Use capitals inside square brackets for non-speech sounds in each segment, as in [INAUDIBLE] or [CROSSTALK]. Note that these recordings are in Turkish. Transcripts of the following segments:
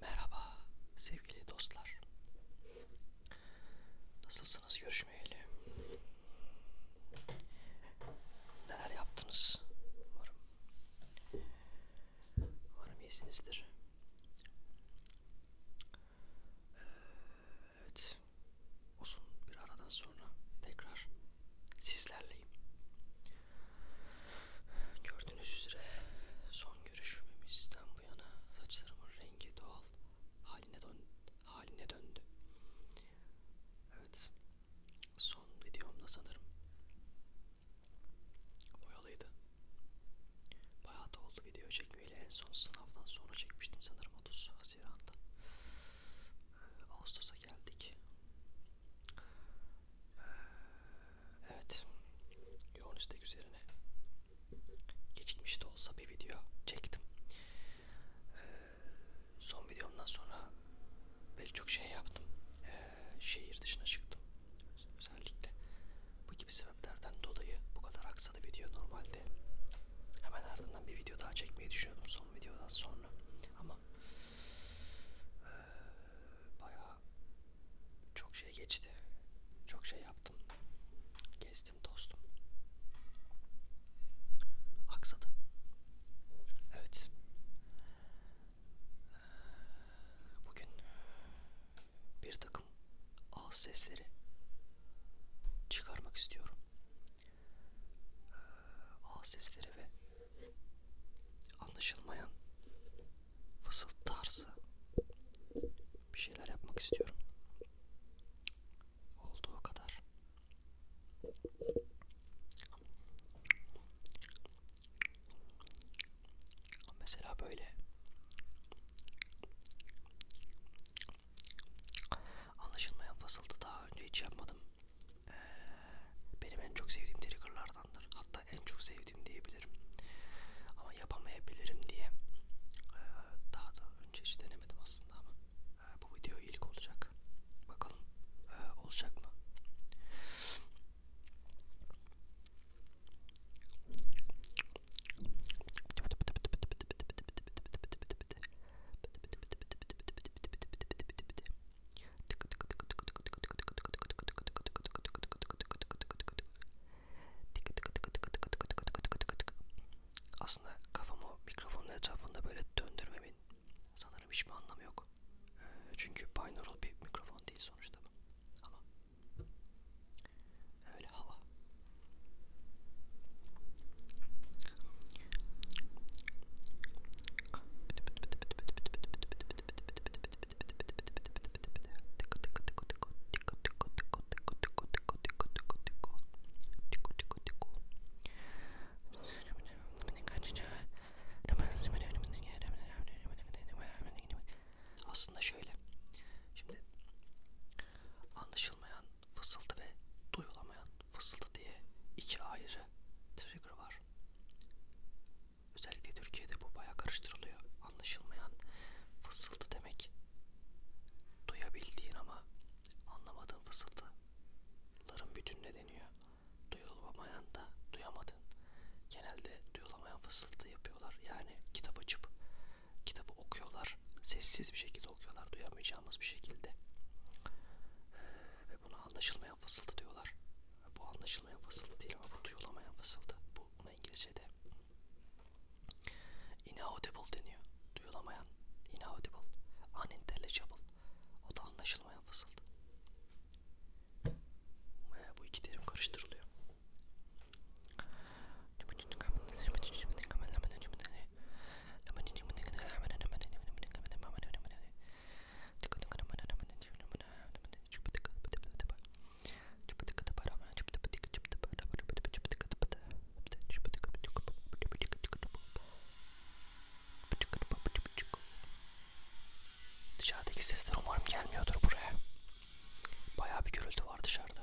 Merhaba sevgili dostlar. Nasılsınız görüşmeyeli? Neler yaptınız? Umarım, umarım iyisinizdir. Ee, evet, uzun bir aradan sonra tekrar sizlerleyim. Gördüğünüz üzere son görüşmemizden bu yana saçlarımın rengi doğal haline, dön haline döndü. Evet, son videomda sanırım boyalıydı. Bayağı da oldu video çekmeyle en son sınavdan sonra çekmiştim sanırım 30 Haziran'da. Ee, Ağustos'a geldik. Ee, evet. Yoğun istek üzerine geçitmiş de olsa bir video çektim. Ee, son videomdan sonra pek çok şey yaptım. Ee, şehir dışına çıktım. Özellikle bu gibi sebeplerden dolayı bu kadar aksadı video normalde. Hemen ardından bir video daha çekmeyi düşünüyordum son videodan sonra. Ama ee, bayağı çok şey geçti. Çok şey yaptım. Gezdim dostum. Aksadı. Evet. Ee, bugün bir takım ağız sesleri çıkarmak istiyorum e, ağız sesleri ve anlaşılmayan fısıltı tarzı bir şeyler yapmak istiyorum. Olduğu kadar. Mesela böyle. Anlaşılmayan fısıltı daha önce hiç yapmadım. Ee, benim en çok sevdiğim triggerlardandır. Hatta en çok sevdiğim diyebilirim. Ama yapamayabilirim diye. Ee, daha da önce hiç denemedim aslında ama. Ee, bu video ilk olacak. Bakalım ee, olacak mı? Aslında kafamı mikrofonun etrafında böyle döndürmemin sanırım hiçbir anlamı yok. Ee, çünkü binaural bir mikrofon değil sonuçta bu. Ama öyle hava. Aslında şöyle. Şimdi anlaşılmayan, fısıltı ve duyulamayan fısıldı diye iki ayrı trigger var. Özellikle Türkiye'de bu baya karıştırılıyor. Anlaşılmayan fısıldı demek duyabildiğin ama anlamadığın fısıldıların bütününe deniyor. Duyulamayan da duyamadığın. Genelde duyulamayan fısıltı yapıyorlar. Yani kitap açıp kitabı okuyorlar. Sessiz bir şekilde okuyorlar. Duyamayacağımız bir şekilde. Ee, ve bunu Buna anlaşılmayan fısıltı diyorlar. Bu anlaşılmayan fısıltı değil ama bu duyulamayan fısıltı. Bu buna İngilizce'de inaudible deniyor. Duyulamayan, inaudible, unintelligible. O da anlaşılmayan fısıltı. Bu iki terim karıştırılıyor. Dışarıdaki sesler umarım gelmiyordur buraya. Bayağı bir gürültü var dışarıda.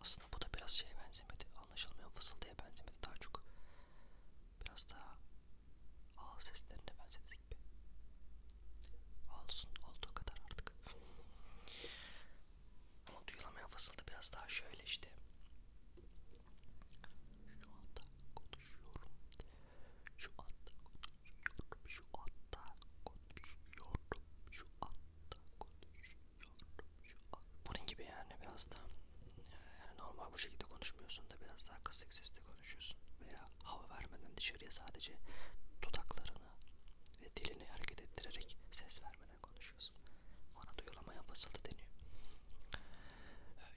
Aslında bu da biraz şeye benzemedi. Anlaşılmayan fısıldaya benzemedi daha çok. Biraz daha ağız seslerine benzedi gibi. Olsun olduğu kadar artık. Ama duyulamayan fısıldı biraz daha şöyle işte. Şu anda konuşuyorum. Şu anda konuşuyorum, şu anda konuşuyorum, şu anda konuşuyorum, şu anda. Bunun gibi yani biraz da yani normal bu şekilde konuşmuyorsun da biraz daha kısık sesle konuşuyorsun veya hava vermeden dışarıya sadece dudaklarını ve dilini hareket ettirerek ses vermeden konuşuyorsun. Ona duyulama yapısıldı deniyor. Ee,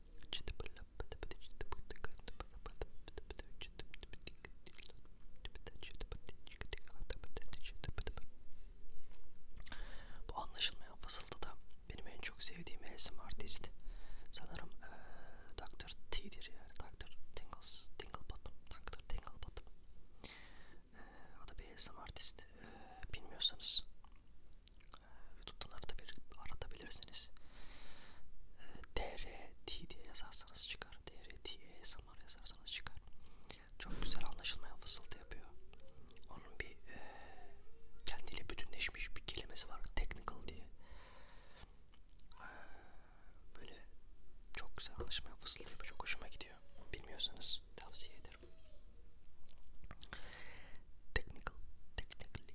Bu anlaşılmayan fısıltıda benim en çok sevdiğim ASMR dizdi. Sanırım ee, Dr. T'dir yani. Dr. Tingles, Tinglebottom, Dr. Tinglebottom. E, o da bir ASMR dizdi. E, bilmiyorsanız YouTube'dan aratabir, aratabilirsiniz. E, ee, DRT diye yazarsanız çıkar. DRT ASMR e yazarsanız çıkar. Çok güzel anlaşılmayan fısıltı yapıyor. Onun bir e, kendiyle bütünleşmiş bir kelimesi var. Technical diye. E, böyle çok güzel anlaşılmayan fısıltı yapıyor. Çok hoşuma gidiyor. Bilmiyorsanız tavsiye ederim. Technical, technically,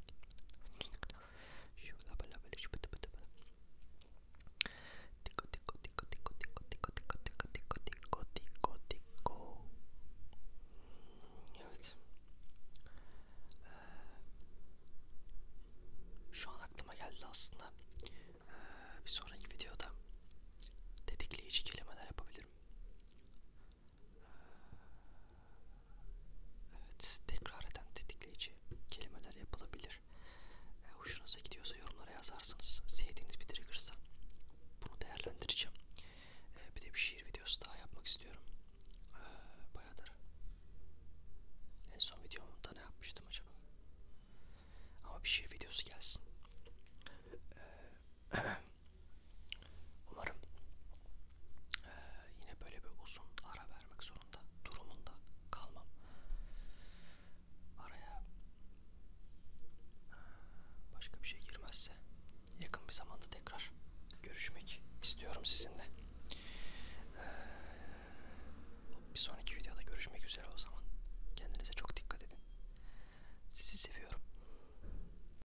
Evet. Ee, şu an aklıma geldi aslında. Ee, bir sonraki videoda tetikleyici kelimeler yapabilirim. Evet, tekrar eden tetikleyici kelimeler yapılabilir. E, hoşunuza gidiyorsa yorumlara yazarsınız. Sevdiğiniz bir triggersa bunu değerlendireceğim. E, bir de bir şiir videosu daha yapmak istiyorum. E, bayağıdır. En son videomda ne yapmıştım acaba? Ama bir şiir videosu gelsin. E, [CLEARS THROAT] umarım e, yine böyle bir uzun ara vermek zorunda durumunda kalmam. Araya e, başka bir şey girmezse yakın bir zamanda tekrar görüşmek istiyorum sizinle. Ee, bir sonraki videoda görüşmek üzere o zaman. Kendinize çok dikkat edin. Sizi seviyorum.